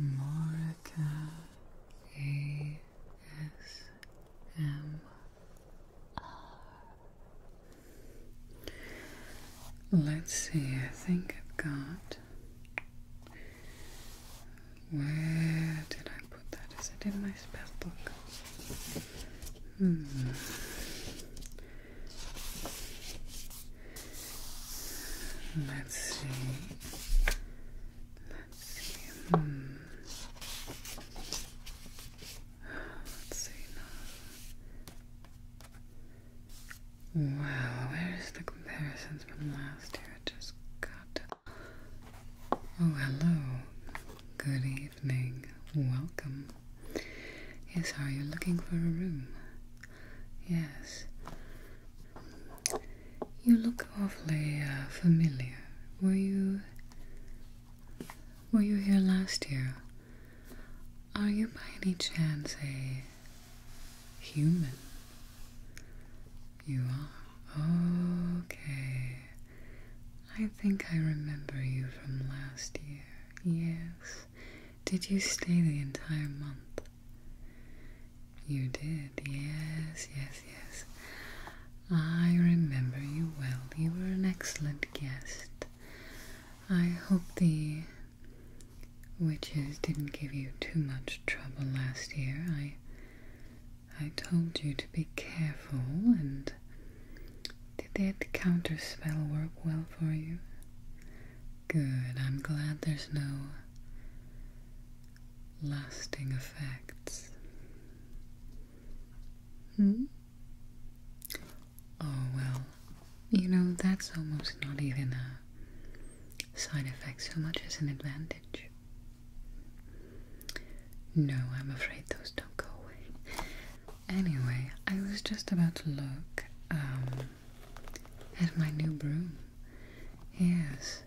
Morika Let's see, I think I've got. Where did I put that? Is it in my spell book? Hmm. Let's see. Let's see. Hmm. Let's see now. Wow, where's the comparisons from last year? I just got Oh, hello. Good evening. Welcome. Yes, are you looking for a room? Yes. You look awfully uh, familiar. Were you were you here last year? Are you by any chance a human? You are. Okay. I think I remember you from last year. Yes. Did you stay the entire month? You did, yes, yes, yes. I remember you well. You were an excellent guest. I hope the witches didn't give you too much trouble last year. I I told you to be careful and did that counter spell work well for you? Good. I'm glad there's no lasting effects. Hmm? Oh, well, you know, that's almost not even a side effect so much as an advantage. No, I'm afraid those don't go away. Anyway, I was just about to look um, at my new broom. Yes.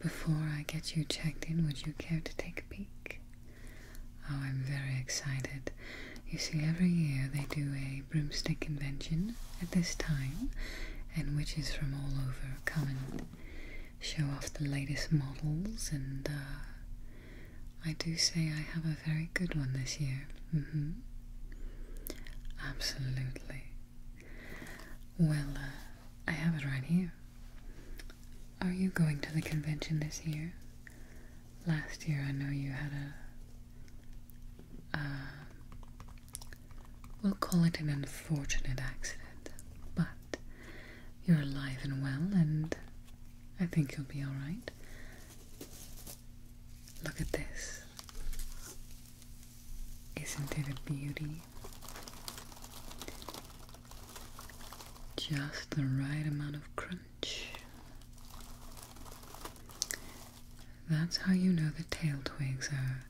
Before I get you checked in, would you care to take a peek? Oh, I'm very excited. You see, every year they do a broomstick invention at this time, and witches from all over come and show off the latest models, and uh, I do say I have a very good one this year. Mm-hmm. Absolutely. Well, uh, I have it right here. Are you going to the convention this year? Last year I know you had a. Uh, we'll call it an unfortunate accident, but you're alive and well, and I think you'll be alright. Look at this. Isn't it a beauty? Just the right amount of crunch. That's how you know the tail twigs are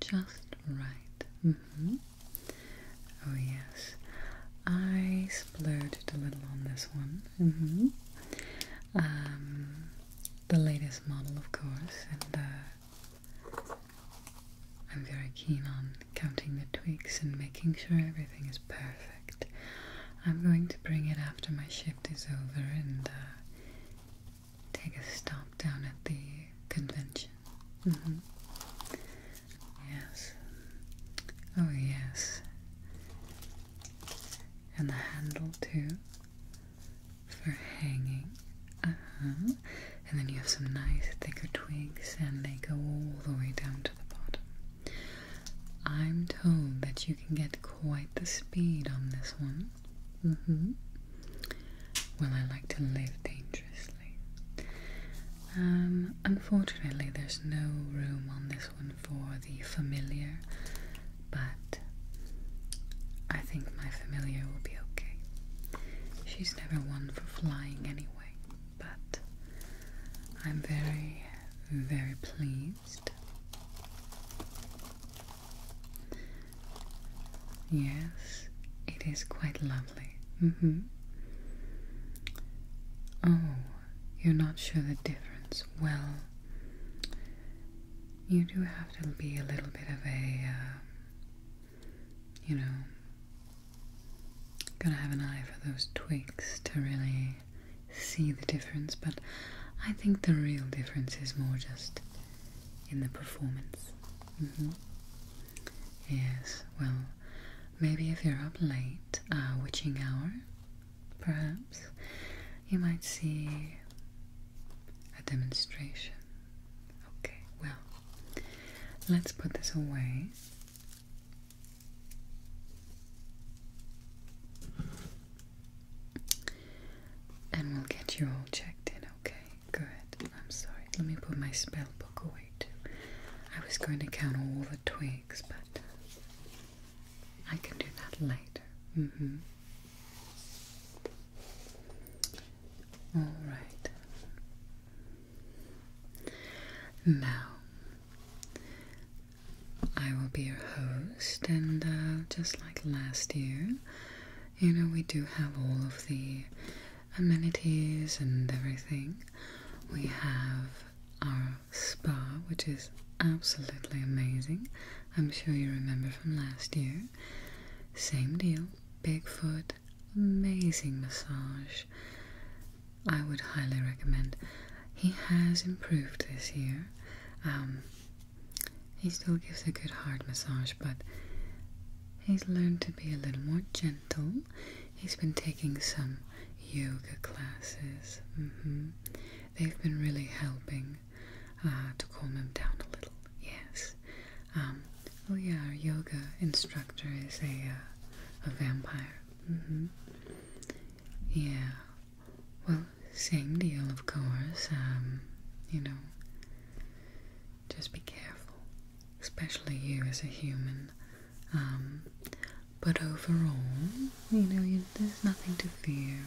just right. Mm hmm. Oh, yes. I splurged a little on this one. Mm-hmm. Um, the latest model, of course, and uh, I'm very keen on counting the tweaks and making sure everything is perfect. I'm going to bring it after my shift is over and uh, take a stop down at the convention. Mm -hmm. Yes. Oh, yes. And the handle, too for hanging. Uh-huh. And then you have some nice thicker twigs, and they go all the way down to the bottom. I'm told that you can get quite the speed on this one. Mm-hmm. Well, I like to live dangerously. Um, unfortunately, there's no room on this one for the familiar but I think my familiar will be okay. She's never one for flying anyway, but I'm very, very pleased. Yes, it is quite lovely. Mm hmm. Oh, you're not sure the difference. Well, you do have to be a little bit of a, um, you know, gotta have an eye for those twigs to really see the difference. But I think the real difference is more just in the performance. Mm -hmm. Yes, well, maybe if you're up late, uh, witching hour, Perhaps you might see a demonstration. Okay, well, let's put this away. And we'll get you all checked in, okay? Good. I'm sorry. Let me put my spell book away too. I was going to count all the twigs, but I can do that later. Mm hmm. All right. Now, I will be your host, and uh, just like last year, you know, we do have all of the amenities and everything. We have our spa, which is absolutely amazing. I'm sure you remember from last year. Same deal, big foot, amazing massage. I would highly recommend. He has improved this year. Um, he still gives a good hard massage, but he's learned to be a little more gentle. He's been taking some yoga classes. Mm-hmm they've been really helping uh, to calm him down a little. Yes. oh yeah, our yoga instructor is a uh, a vampire. Mm-hmm. Yeah. Well, same deal, of course. Um, you know, just be careful, especially you as a human. Um, but overall, you know, there's nothing to fear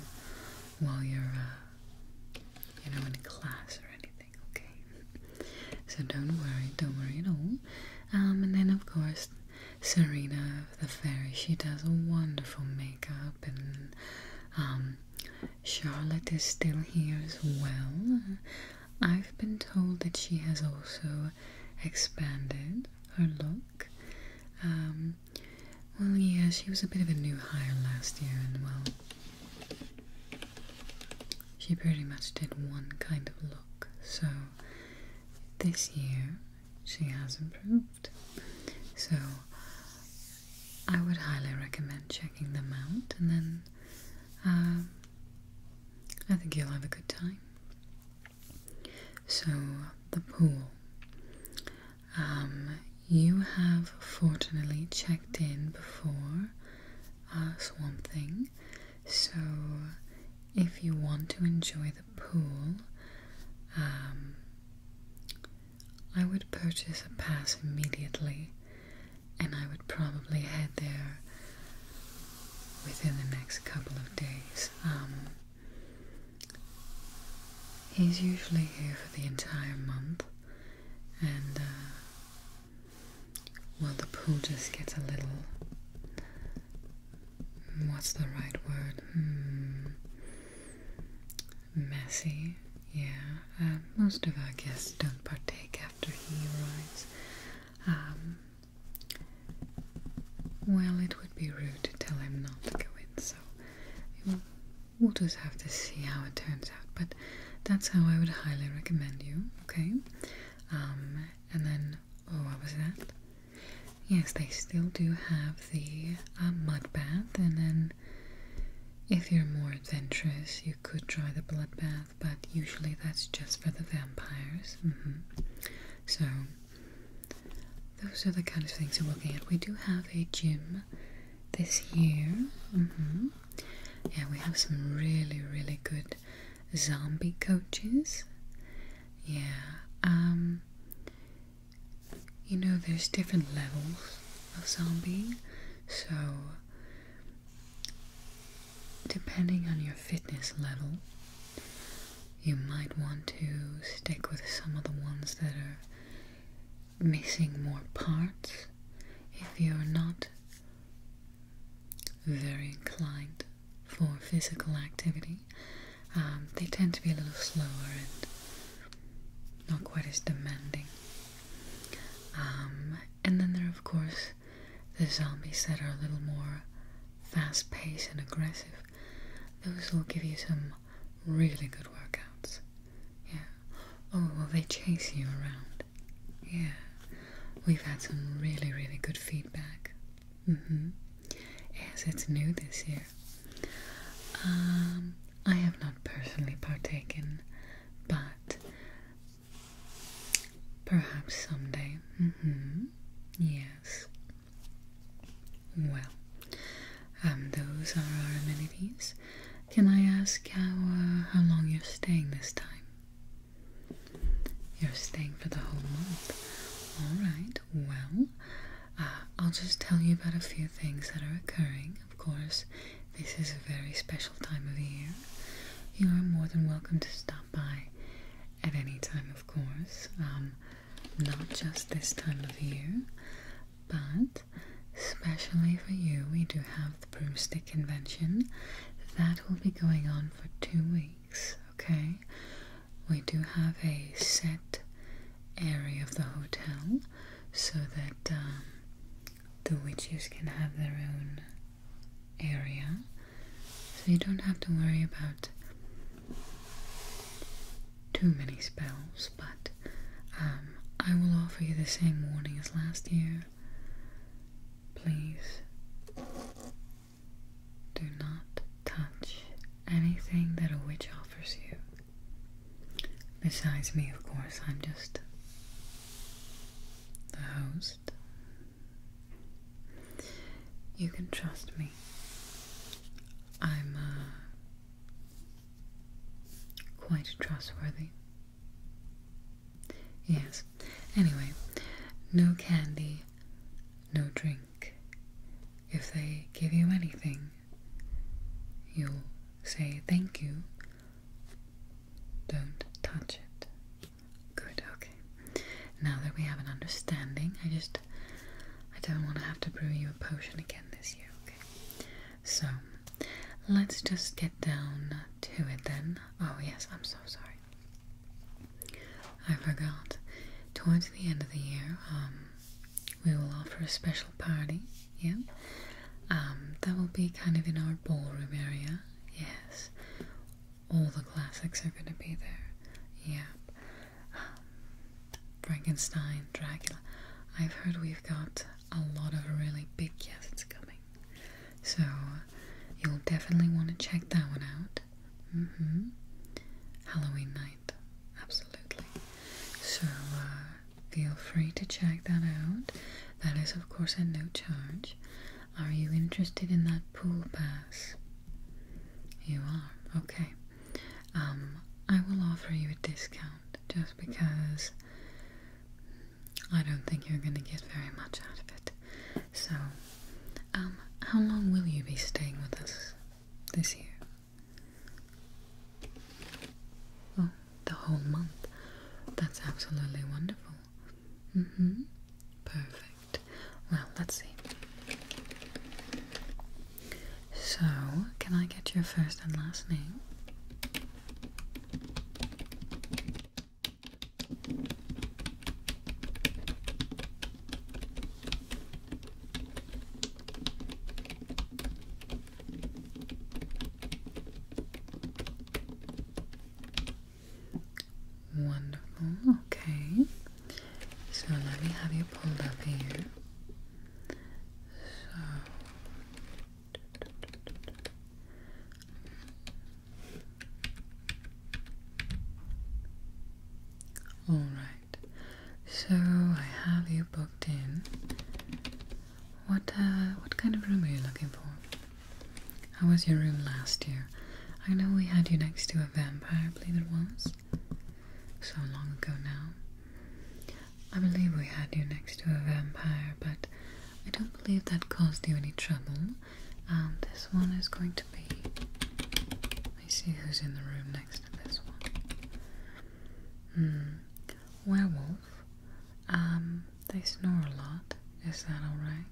while you're, uh, you know, in class or anything, okay? So don't worry, don't worry at all. Um, and then, of course, Serena the Fairy, she does a wonderful makeup, and um, Charlotte is still here as well. I've been told that she has also expanded her look. Um, well, yeah, she was a bit of a new hire last year, and well, she pretty much did one kind of look, so this year she has improved. So, I would highly recommend checking them out, and then uh, I think you'll have a good time. So, the pool. Um, you have fortunately checked in before uh, one Thing, so if you want to enjoy the pool, um, I would purchase a pass immediately and I would probably head there within the next couple of days. Um, He's usually here for the entire month, and uh, while the pool just gets a little. What's the right word? Hmm, messy, yeah. Uh, most of our guests don't partake after he arrives. Um, well, it would be rude to tell him not to go in, so um, we'll just have to see how it turns out. But that's how I would highly recommend you, okay? Um, and then, oh, what was that? Yes, they still do have the um, mud bath, and then if you're more adventurous, you could try the blood bath, but usually that's just for the vampires. Mm-hmm. So those are the kind of things we're looking at. We do have a gym this year. Mm Yeah, we have some really, really good zombie coaches. Yeah. Um, you know there's different levels of zombie, so depending on your fitness level, you might want to stick with some of the ones that are missing more parts if you're not very inclined for physical activity. Um, they tend to be a little slower and not quite as demanding. Um, and then there are, of course, the zombies that are a little more fast paced and aggressive, those will give you some really good workouts. Yeah. Oh, well, they chase you around. Yeah. We've had some really, really good feedback. Mm hmm. Yes, it's new this year. Um, I have not personally partaken, but perhaps someday. Mm hmm. Yeah. Well, um, those are our amenities. Can I ask how, uh, how long you're staying this time? You're staying for the whole month. Alright, well, uh, I'll just tell you about a few things that are occurring. Of course, this is a very special time of year. You are more than welcome to stop by at any time, of course. Um, not just this time of year, but especially for you, we do have the broomstick convention that will be going on for two weeks, okay? We do have a set area of the hotel so that um, the witches can have their own area so you don't have to worry about too many spells, but um, I will offer you the same warning as last year. Please do not touch anything that a witch offers you. Besides me, of course, I'm just the host you can trust me. I'm uh, quite trustworthy. Yes. Anyway, no candy, no drink. If they give you anything, you'll say thank you. Don't touch it. Good, okay. Now that we have an understanding, I just I don't want to have to brew you a potion again this year, okay? So let's just get down to it then. Oh yes, I'm so sorry. I forgot. Towards the end of the year, um, we will offer a special party, yeah? Um, that will be kind of in our ballroom area, yes all the classics are gonna be there. yeah. Um, Frankenstein, Dracula. I've heard we've got a lot of really big guests coming. So you'll definitely want to check that one out. Mm hmm. Halloween night. Absolutely. So uh, feel free to check that out. That is, of course, at no charge. Are you interested in that pool pass? You are, okay. Um, I will offer you a discount just because I don't think you're going to get very much out of it. So, um, how long will you be staying with us this year? Oh, the whole month. That's absolutely wonderful. Mm-hmm. Perfect. Well, let's see. So, can I get your first and last name? Wonderful. Okay. So let me have you pulled up here. So all right. So I have you booked in. What uh, what kind of room are you looking for? How was your room last year? I know we had you next to a vampire, I believe it was. So long ago now. I believe we had you next to a vampire, but I don't believe that caused you any trouble. Um, this one is going to be. Let's see who's in the room next to this one. Hmm. Werewolf. Um, they snore a lot. Is that alright?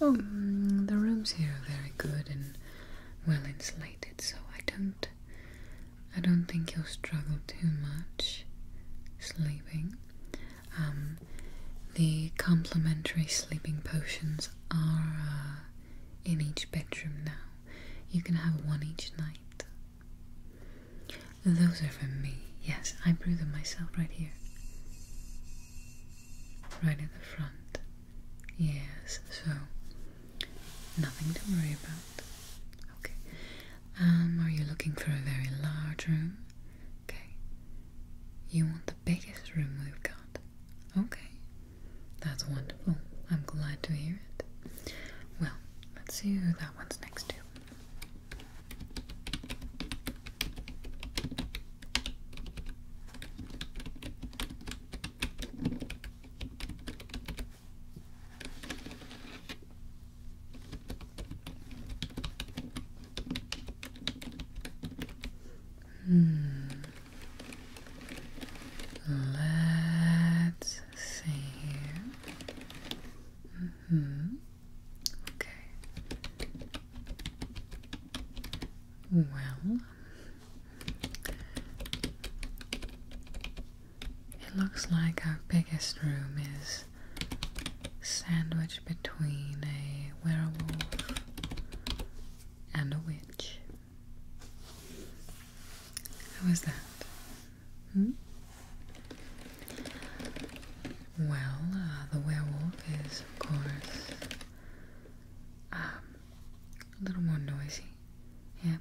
Oh, mm, the rooms here are very good and well insulated, so I don't. I don't think you'll struggle too much sleeping. Um, the complimentary sleeping potions are uh, in each bedroom now. You can have one each night. Those are for me. Yes, I brew them myself right here right at the front. Yes, so nothing to worry about. Okay. Um, are you looking for a very large room? Okay. You want the biggest room we've got? Okay. That's wonderful. I'm glad to hear it. Well, let's see who that one's next to. Hmm. Let's see. Mm -hmm. Okay. Well, it looks like our biggest room is sandwiched between a werewolf and a witch. How was that? Hmm? Well, uh, the werewolf is, of course, um, a little more noisy. Yeah.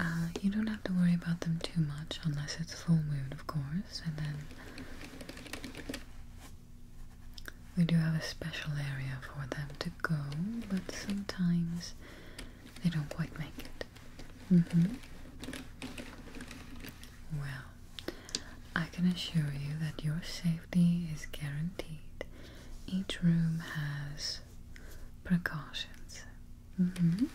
Uh, you don't have to worry about them too much unless it's full moon, of course, and then we do have a special area for them to go, but sometimes they don't quite make it. Mm-hmm. Well, I can assure you that your safety is guaranteed. Each room has precautions. Mm-hmm.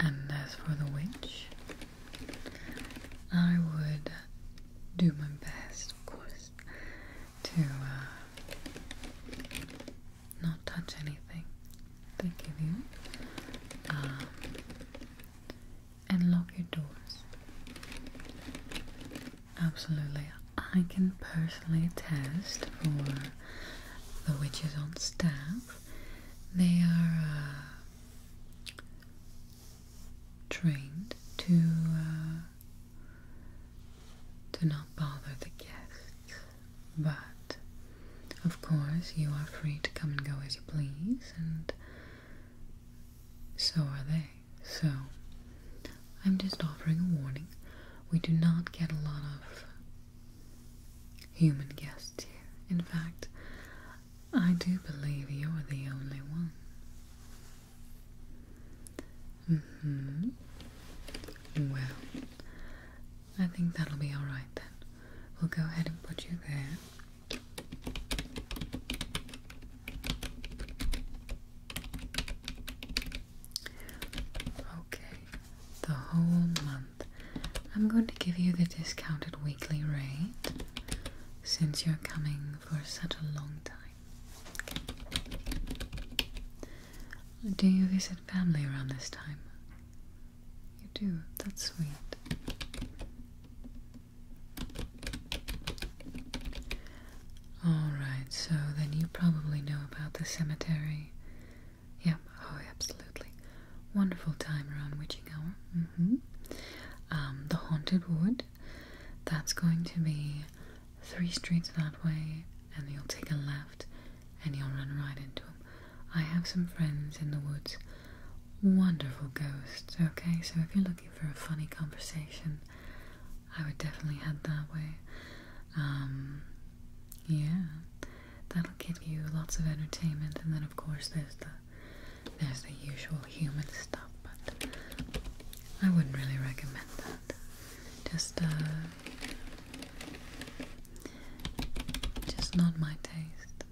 And as for the witch, I would do my best, of course, to uh, not touch anything. Thank you um, and lock your doors. Absolutely, I can personally attest for the witches on staff. They are uh, trained to uh, to not bother the guests. But of course, you are free to come and go as you please, and so are they. So, I'm just offering a warning. We do not get a lot of human guests here. In fact, I do believe you're the only one. hmm. Well, I think that'll be alright then. We'll go ahead and put you there. Okay, the whole month. I'm going to give you the discounted weekly rate since you're coming for such a long time. Do you visit family around this time? You do. That's sweet. Alright, so then you probably know about the cemetery. Yep. oh, absolutely. Wonderful time around witching hour. Mm-hmm. Um, the Haunted Wood. That's going to be three streets that way, and you'll take a left and you'll run right into them. I have some friends in the woods, wonderful ghosts, okay? So if you're looking for a funny conversation, I would definitely head that way. Um, yeah, that'll give you lots of entertainment, and then of course there's the there's the usual human stuff, but I wouldn't really recommend that. Just uh, just not my taste.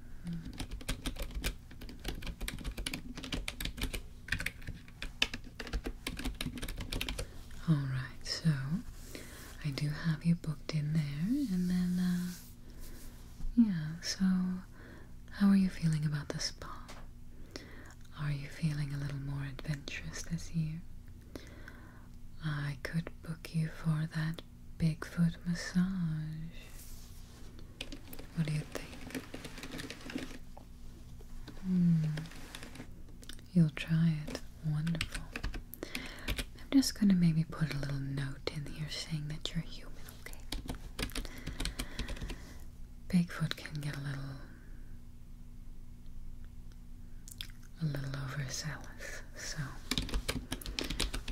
All right, so I do have you booked in there, and then uh, yeah. So, how are you feeling about the spa? Are you feeling a little more adventurous this year? I could book you for that Bigfoot massage. What do you think? Hmm. You'll try it. Wonderful. I'm just gonna maybe put a little note in here saying that you're human, okay? Bigfoot can get a little a little overzealous. So,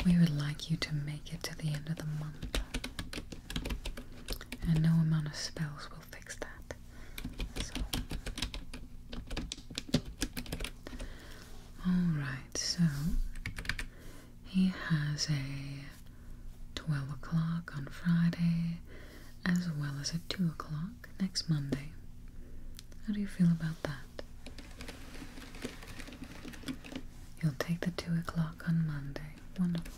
we would like you to make it to the end of the month. And no amount of spells will fix that. So, alright, so he has a 12 o'clock on Friday as well as a 2 o'clock next Monday. How do you feel about that? You'll take the 2 o'clock on Monday. Wonderful.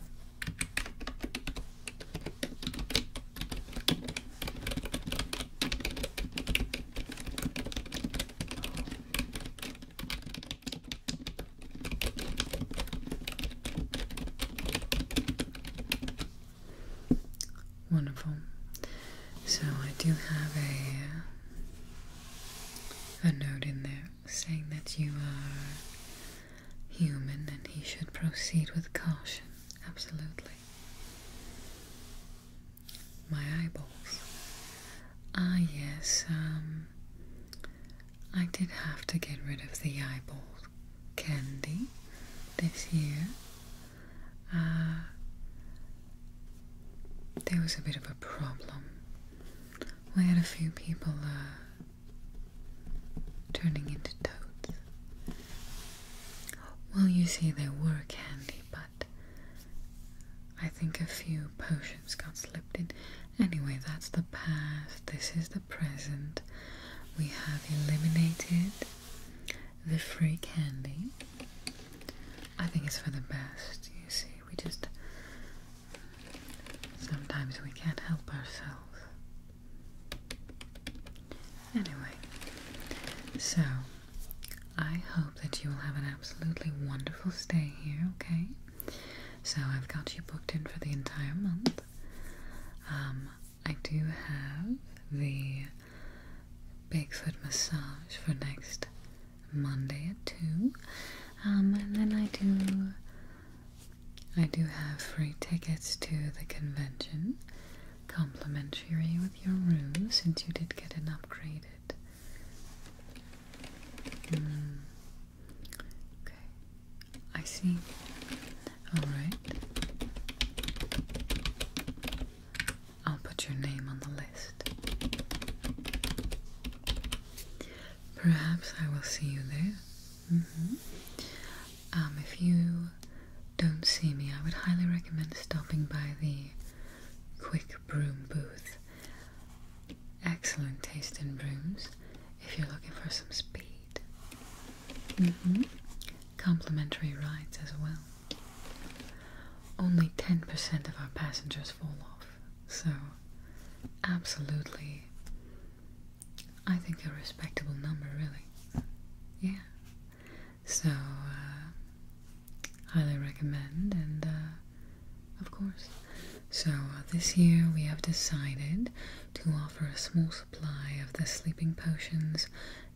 Wonderful. So I do have a a note in there saying that you are human and he should proceed with caution. Absolutely. My eyeballs. Ah yes, um I did have to get rid of the eyeball candy this year. Uh, there was a bit of a problem. We had a few people uh, turning into toads. Well, you see, they were candy, but I think a few potions got slipped in. Anyway, that's the past. This is the present. We have eliminated the free candy. I think it's for the best, you see. We just. Sometimes we can't help ourselves. Anyway, so I hope that you will have an absolutely wonderful stay here, okay? So I've got you booked in for the entire month. Um, I do have the Bigfoot massage for next Monday at 2. Um, and then I do. I do have free tickets to the convention, complimentary with your room since you did get an upgraded. Hmm. Okay, I see. Alright. I'll put your name on the list. Perhaps I will see you there. Mm-hmm. um, if you don't see me, I would highly recommend stopping by the Quick Broom booth. Excellent taste in brooms if you're looking for some speed. Mm-hmm complimentary rides as well. Only 10% of our passengers fall off, so absolutely, I think a respectable number, really. Yeah. So, uh, highly recommend, and uh, of course. So, uh, this year we have decided to offer a small supply of the sleeping potions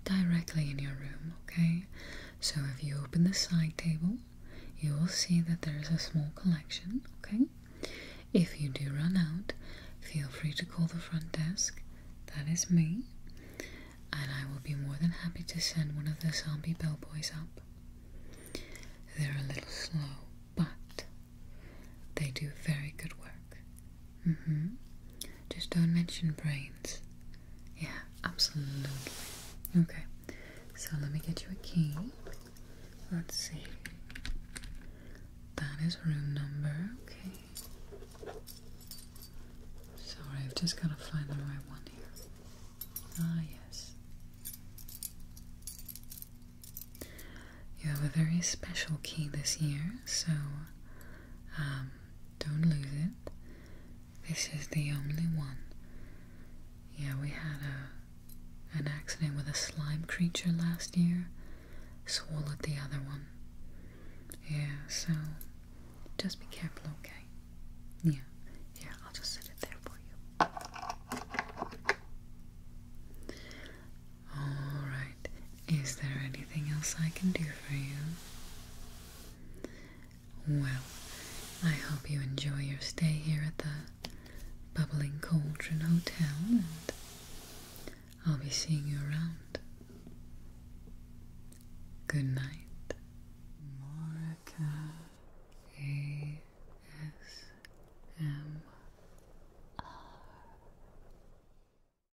directly in your room, okay? So if you open the side table, you will see that there is a small collection, okay? If you do run out, feel free to call the front desk. That is me. And I will be more than happy to send one of the zombie bellboys up. They're a little slow, but they do very good work. Mm hmm. Just don't mention brains. Yeah, absolutely. Okay, so let me get you a key. Let's see. That is room number. Okay. Sorry, I've just got to find the right one here. Ah, yes. You have a very special key this year, so um, don't lose it. This is the only one. Yeah, we had a an accident with a slime creature last year. Swallowed the other one. Yeah, so just be careful, okay? Yeah. Yeah, I'll just set it there for you. All right. Is there anything else I can do for you? Well, I hope you enjoy your stay here at the Bubbling Cauldron Hotel, and I'll be seeing you around. Good night. Morika